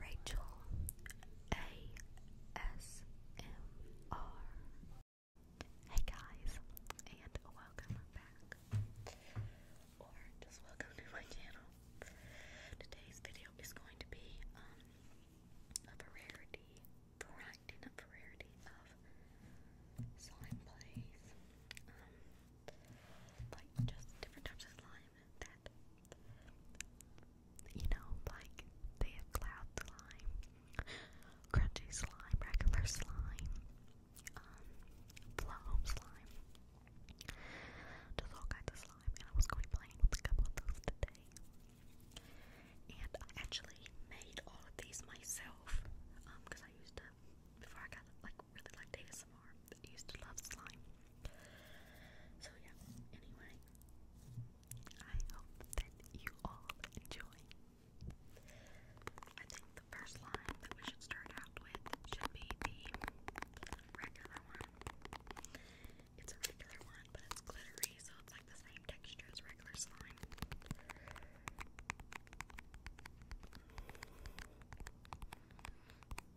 Rachel ASMR. Hey guys, and welcome back, or just welcome to my channel. Today's video is going to be um a variety, variety, not variety of slime plays. Um, like just different types of slime that you know, like they have cloud slime, crunchy slime, regular slime, um, slime, just all kinds of slime. And I was going playing with a couple of those today. And I actually made all of these myself, um, because I used to before I got like really liked ASMR. I used to love slime. So yeah, anyway, I hope that you all enjoy. I think the first line that we should start out with should be the regular one. It's a regular one, but it's glittery, so it's like the same texture as regular slime.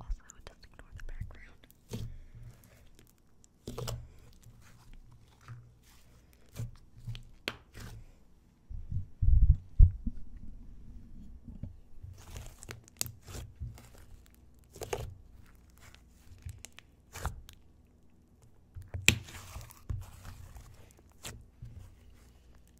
Also, just ignore the background.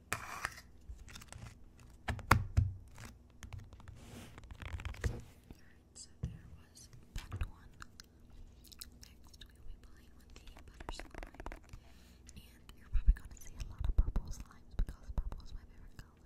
Alright, so there was packed one. Next, we will be playing with the butter And you're probably going to see a lot of purple slimes because purple is my favorite color.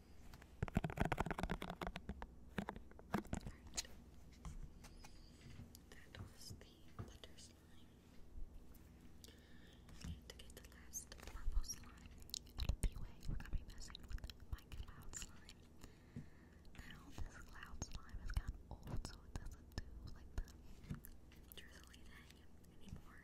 Alright. That was the butter slime. to get the last purple slime out of way, we're going to be messing with my cloud slime. Now, this cloud slime has gotten old, so it doesn't do like the drizzly thing anymore.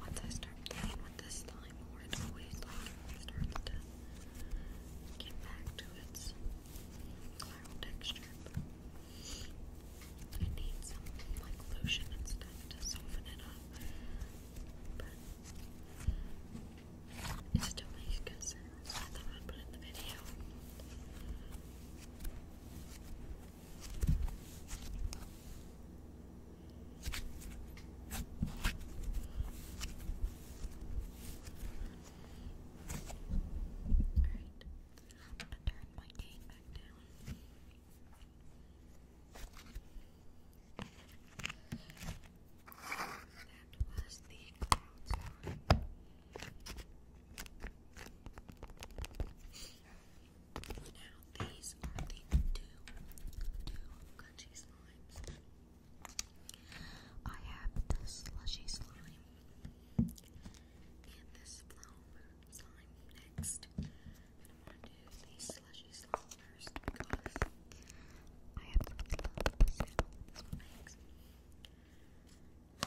Once I start playing with this slime more, it always like starts to get back to its cloud texture. I need some like lotion and to soften it up. It still makes good sense. I thought i put in the video. Alright, I'll turn my cane back down. That was the cloud sign. Now these are the two, two crunchy slimes. I have the slushy slime and this flower slime next. And I'm gonna do the slushy slime first because I absolutely love the sound that this one makes. I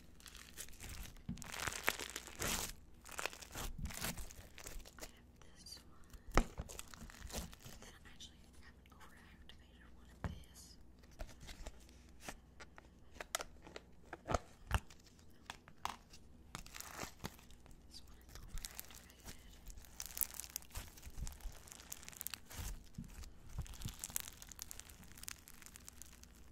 this one. And I actually have an overactivated one of this. This one is overactivated.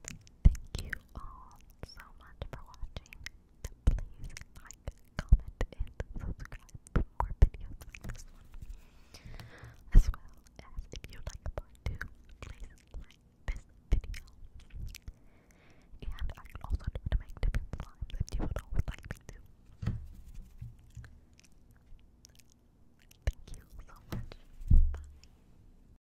Thank you all so much for watching. Please like, comment, and subscribe for more videos like this one. As well as if you like part 2, please like this video. And I can also try to make different slimes if you would always like me to. Thank you so much. Bye.